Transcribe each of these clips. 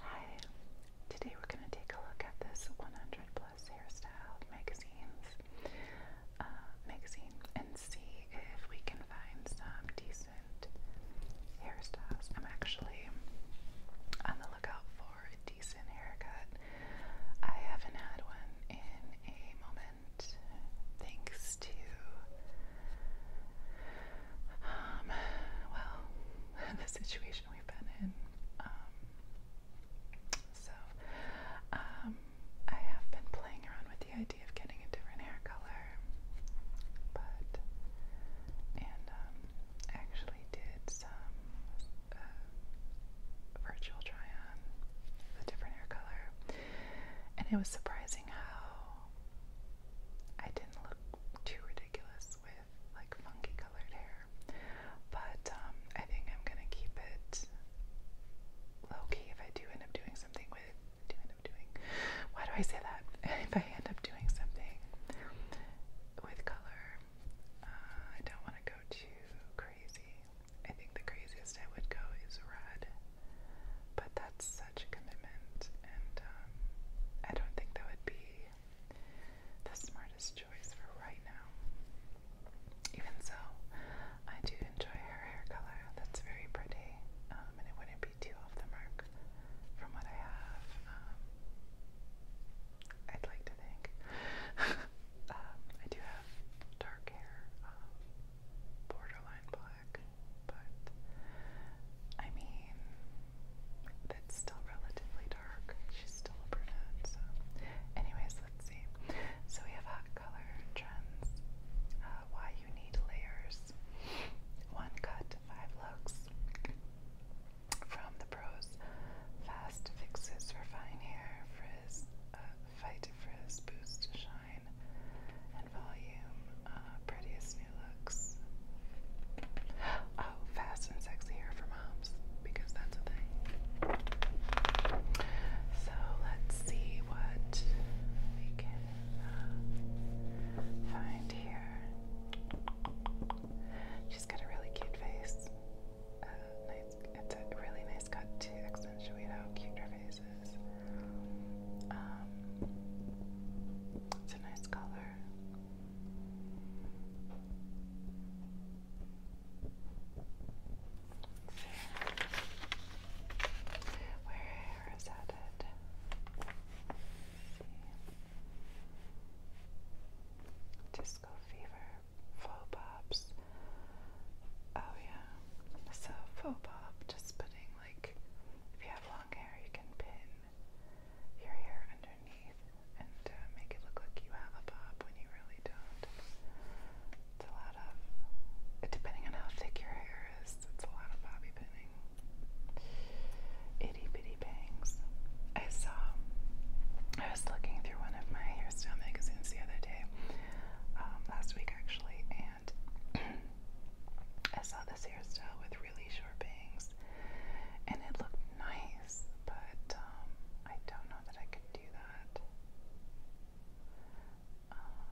Hi, today we're going to take a look at this 100 plus hairstyle magazines uh, magazine and see if we can find some decent hairstyles. I'm actually on the lookout for a decent haircut. I haven't had one in a moment thanks to um, well, the situation we've been in. Um, so, um, I have been playing around with the idea of getting a different hair color, but, I actually did some uh, virtual try on a different hair color, and it was surprising how I didn't look too ridiculous with like funky colored hair, but um, I think I'm gonna keep it low key. If I do end up doing something with, do end up doing. Why do I say that? If I end up doing something with color, uh, I don't want to go too crazy. I think the craziest I would go is red, but that's such commitment, and um, I don't think that would be the smartest choice for right now. Even so, I do enjoy her hair color. That's very pretty, um, and it wouldn't be too off the mark from what I have. Um, I'd like to think. um, I do have dark hair, um, borderline black, but I mean, that's still relatively dark. She's still a brunette, so. Anyways, let's see. So we have hot color trends, uh, why you need layers, one cut, five looks from the pros, fast fixes for fine hair, frizz, uh, fight frizz, boost shine, and volume, uh, prettiest Oh, fast and sexy hair for moms because that's a thing. So let's see what we can uh, find here. She's got a really cute face. Uh, nice, it's a really nice cut to accentuate how cute her face is. Um, it's a nice color. Where is that it? Disco fever, faux pops. Oh yeah. So faux pop, just putting like if you have long hair you can pin your hair underneath and uh, make it look like you have a bob when you really don't. It's a lot of, depending on how thick your hair is, it's a lot of bobby pinning. Itty bitty bangs. I saw, I was looking through one of my hairstyle magazines the other day, um, last week actually, and I saw this hairstyle with really short bangs, and it looked nice, but um, I don't know that I could do that. Uh,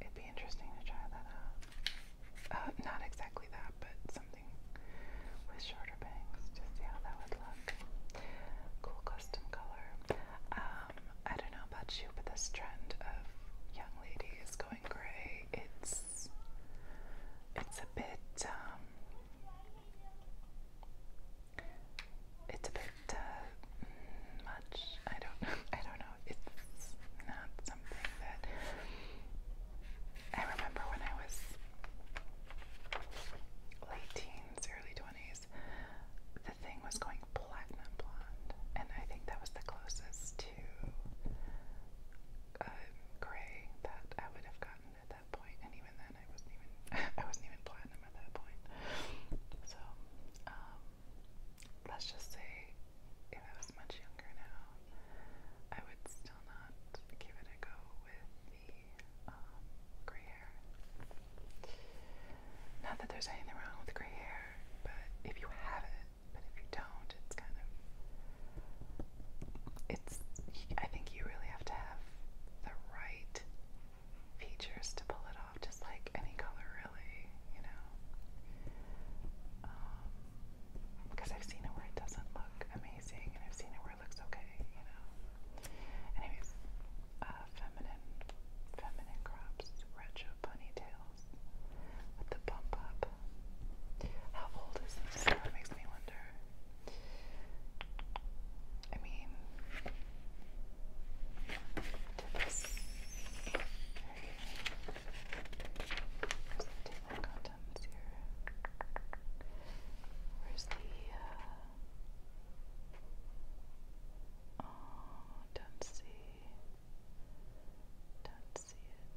it'd be interesting to try that out. Uh, not exactly that, but something with shorter bangs to see how that would look. Cool custom color. Um, I don't know about you, but this trend of young ladies going gray, it's it's a bit um, it's a bit uh, much. I don't I don't know. It's not something that I remember when I was late teens, early twenties. The thing was going platinum blonde, and I think that was the closest to uh, gray that I would have gotten at that point, and even then I wasn't even I wasn't even platinum at that point. So um, let's just say if I was much younger now, I would still not give it a go with the um, gray hair. Not that there's anything wrong with gray hair, but if you have it, but if you don't, it's kind of it's I think you really have to have the right features to pull it off, just like any color, really, you know. because um, I've seen it where it doesn't look amazing, and I've seen it where it looks okay, you know. Anyways, uh, feminine, feminine crops, retro ponytails with the bump up up. How old is this? makes me wonder. I mean, did this okay. the contents here. Where's the uh, oh, don't see don't see it.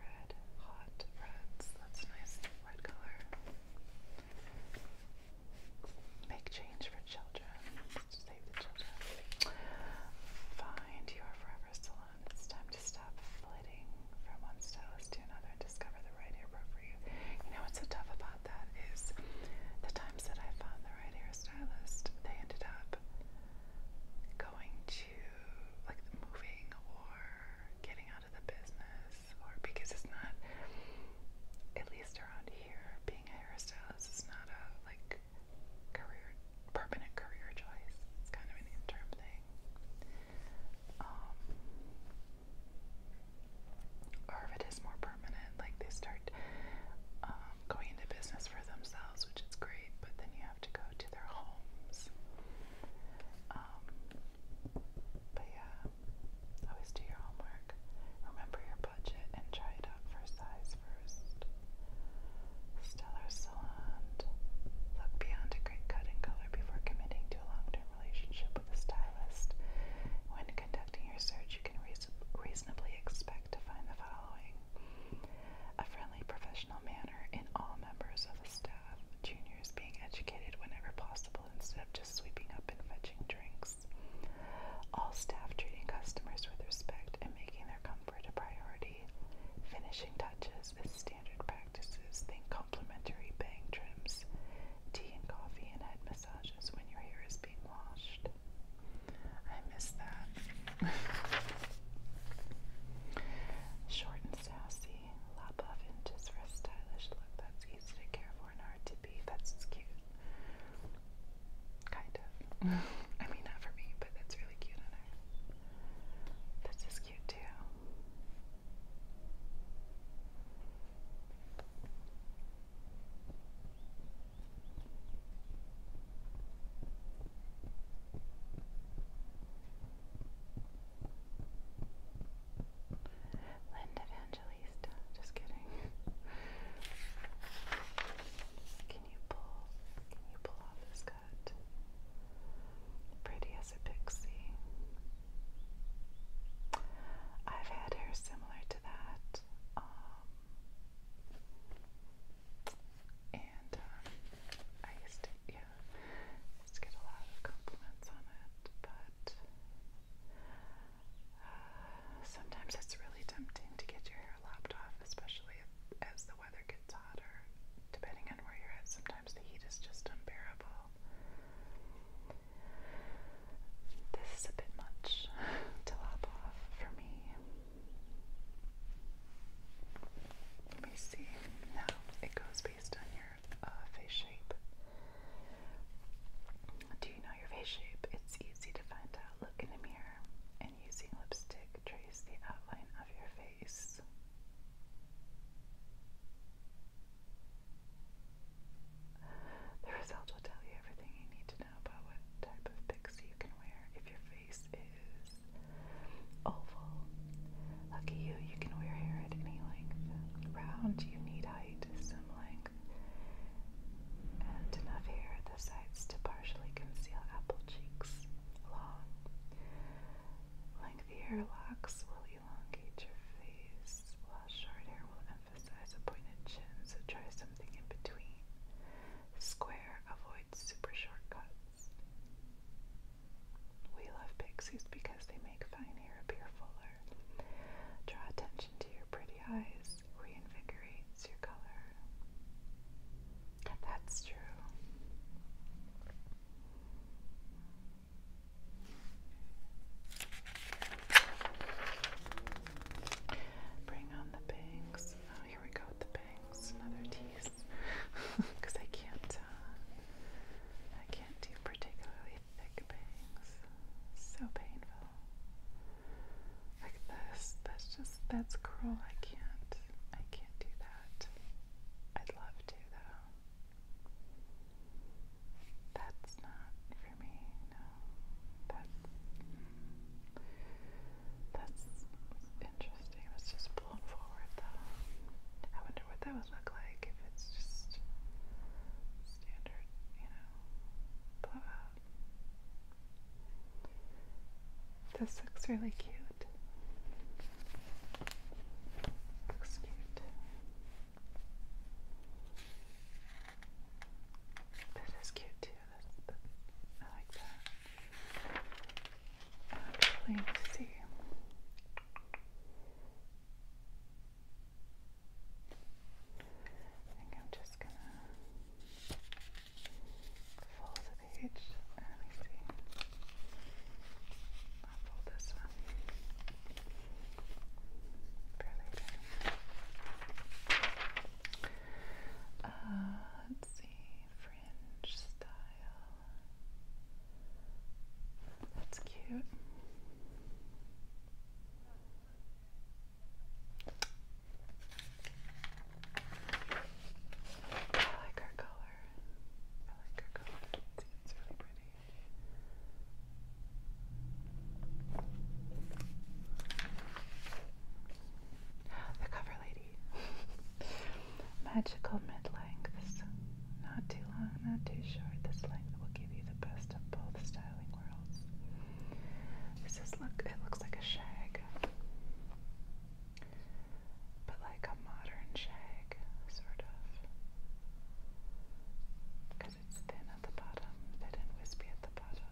red, hot reds. That's nice, red color. Make change for children. Save the children. Find your forever salon. It's time to stop flitting from one stylist to another and discover the right hair for you. You know what's so tough about that is the times that I found the right hairstylist, they ended up going to to like moving or getting out of the business, or because it's not, at least around here, being a hairstylist is not a like career, permanent career choice. It's kind of an interim thing. Um, or if it is more permanent, like they start um, going into business for themselves, which is great, but then you have to go to their homes um, but yeah, always do your homework. Remember your budget and try it out for size first. Stellar Salon. Look beyond a great cut and color before committing to a long-term relationship with a stylist. When conducting your search, you can reasonably expect to find the following. A friendly professional professional manner in all members of the staff, juniors being educated whenever possible instead of just sweeping up and fetching drinks. All staff treating customers with respect and making their comfort a priority. Finishing touches is standard practices. Think complimentary bang trims, tea and coffee, and head massages when your hair is being washed. I miss that. Short and sassy lop off inches for a stylish look that's easy to care for and hard to be. That's cute. Kind of. I mean, not for me, but that's really cute on her. This is cute too. Linda Evangelista, just kidding. can you pull can you pull off this cut? Pretty as a pixie. I've had hair similar to that. Um, and um, I used to, just get a lot of compliments on it, but uh, sometimes it's really tempting to get your hair lopped off, especially as the weather gets hotter. Depending on where you're at, sometimes the heat is just unbearable. This is a bit much to lop off for me. Let me see. Now it goes based on your uh, face shape. Do you know your face shape? It's easy to find out. Look in a mirror and using lipstick, trace the outline of your face. The result will tell you everything you need to know about what type of pixie you can wear. If your face is oval, Lucky you, you can wear hair at any length. Round, you need height, some length, and enough hair at the sides to partially conceal apple cheeks. Long, lengthy hair locks will elongate your face, short hair will emphasize a pointed chin, so try something in between. Square, avoids super shortcuts. We love pixies because they make fine hair appear fuller, draw attention to your pretty eyes, reinvigorate your color. That's true. Bring on the bangs. Oh, here we go with the bangs. Another tease. Because I can't, uh, I can't do particularly thick bangs. So painful. Like this. That's just, that's cruel. I can't, I can't do that. I'd love to though. That's not for me, no. That's, that's interesting. It was just blown forward though. I wonder what that would look like if it's just standard, you know, uh, This looks really cute. Looks cute. This is cute too. That's the, I like that. Actually, let's see. I think I'm just gonna fold the page. Uh, let I'll fold this one for later. Uh, let's see, fringe style. That's cute. I like her color. I like her color. It's, really pretty. The cover lady. Magical mid lengths. Not too long, not too short. This length will give you the best of both styling worlds. This is look it looks like a shag. But like a modern shag, sort of. Because it's thin at the bottom, thin and wispy at the bottom.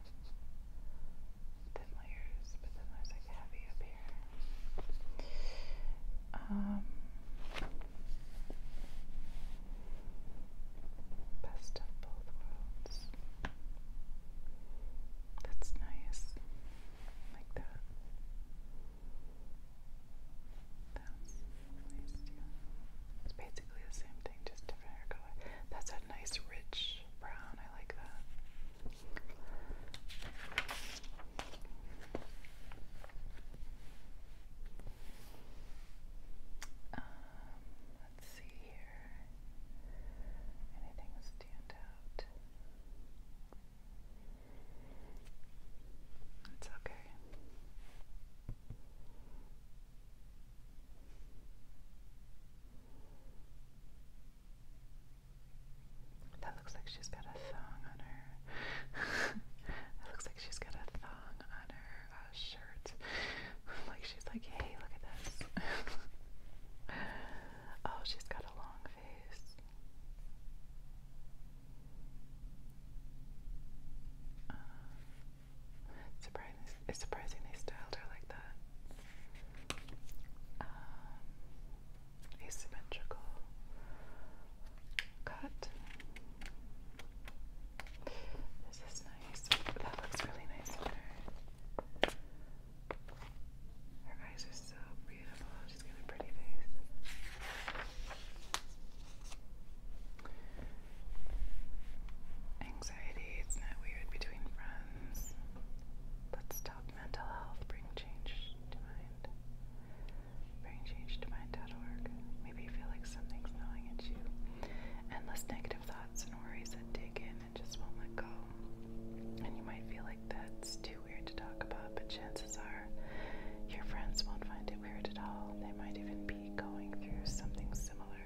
Thin layers, but then there's like heavy up here. Um, best of both worlds. That's nice. Like that. That's nice, yeah. It's basically the same thing, just different hair color. That's a nice rich brown. I like that. Um, let's see here. Anything stand out? It's okay. That looks like she's got a thong on her. that looks like she's got a thong on her uh, shirt. like she's like, hey, look at this. oh, she's got a long face. Um, surprising, it's surprising they styled her like that. Um, asymmetrical cut. This is nice. That looks really nice Her eyes are so beautiful. She's got a pretty face. Anxiety, it's not weird between friends. Let's talk mental health, bring change to mind. Bring change to Maybe you feel like something's gnawing at you. Endless negative thoughts and worries that dig in and just won't let go. And you might feel like that's too weird to talk about, but chances are your friends won't find it weird at all. They might even be going through something similar.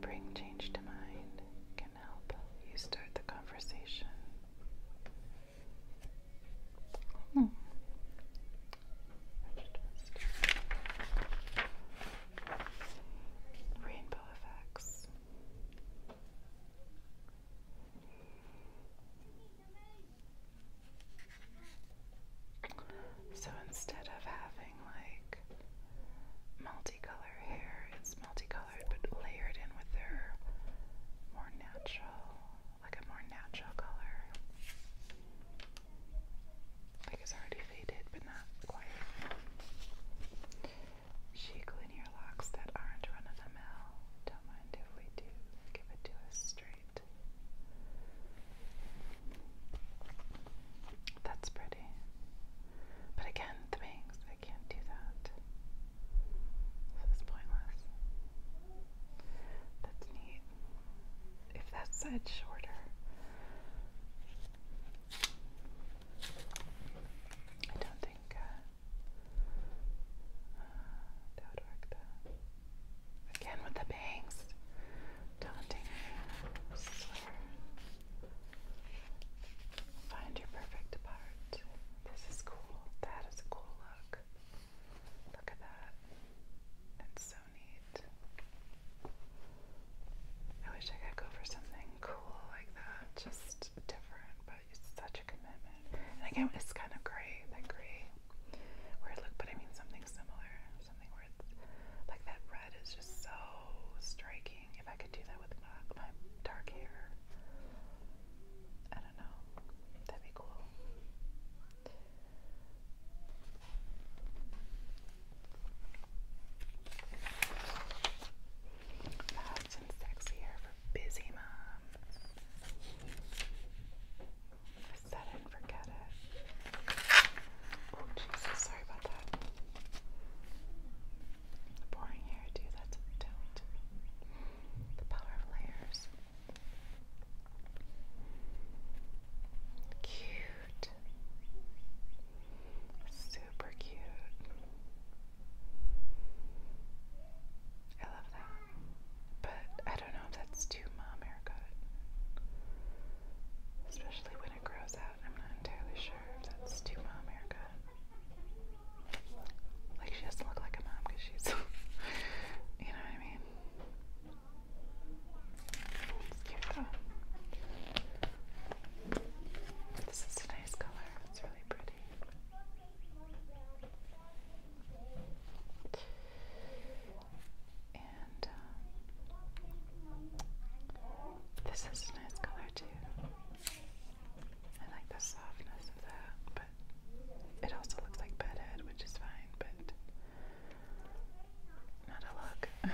Bring change to mind can help you start the conversation. Hmm. Rainbow effects. So instead of having like multicolored hair, it's multicolored but layered in with their more natural, like a more natural color. Like it's already faded, but not quite. Chic linear locks that aren't run of the mill. Don't mind if we do. Give it to us straight. That's pretty. But again, the bangs, I can't do that. This is pointless. That's neat if that side's shorter. I don't think uh, uh, that Again with the bangs. Daunting. Sliver. Find your perfect part. This is cool. That is a cool look. Look at that. It's so I wish I could go for something cool like that, just different, but it's such a commitment. And again, it's kind of gray, that gray weird look, but I mean something similar, something where like that red is just so striking. If I could do that with my, my dark hair, I don't know, that'd be cool. Fast and sexy hair for busy moms. Set it and forget it. Oh Jesus, sorry about that. Boring hair too, that's a don't. The power of layers. Cute. Super cute. I love that. But I don't know if that's too mom haircut. Especially when it grows out. I'm not entirely sure if that's too mom haircut. Like she doesn't look like a mom because she's, you know what I mean? Here This is a nice color. It's really pretty. And uh, this is a nice color too. I like the softness of that, but it also looks like bedhead, which is fine, but not a look.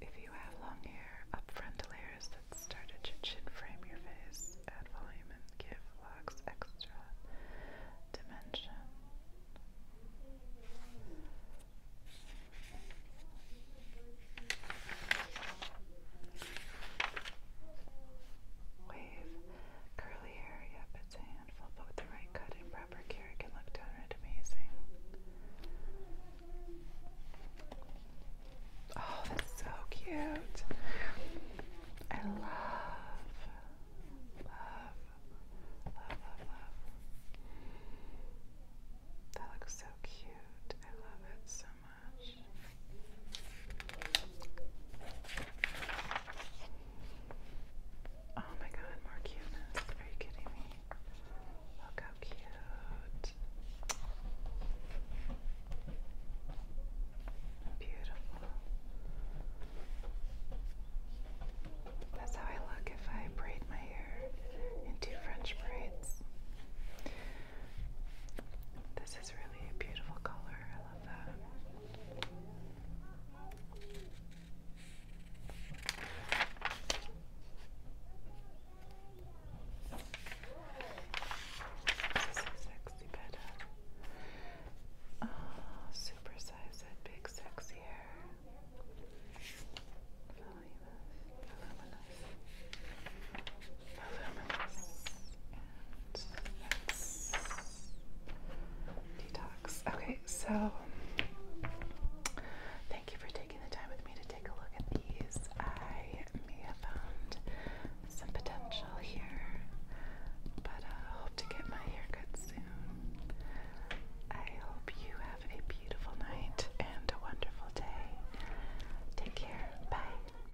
if you have long hair, up front layers that start at chin frame your face, add volume and give locks extra dimension. Wave. Curly hair, yep, it's a handful, but with the right cut proper care, it can look downright amazing. Oh, that's so cute. I love, love, love, love, love. That looks so cute. I love it so much. Oh my god, more cuteness. Are you kidding me? Look how cute. Beautiful. That's how I look if I braid my hair into French braids. This is really a beautiful color. I love that. This is a sexy bed. Oh, ah, super size that big sexy hair. Voluminous, Detox. Okay, so thank you for taking the time with me to take a look at these. I may have found some potential here, but I uh, hope to get my haircut soon. I hope you have a beautiful night and a wonderful day. Take care. Bye.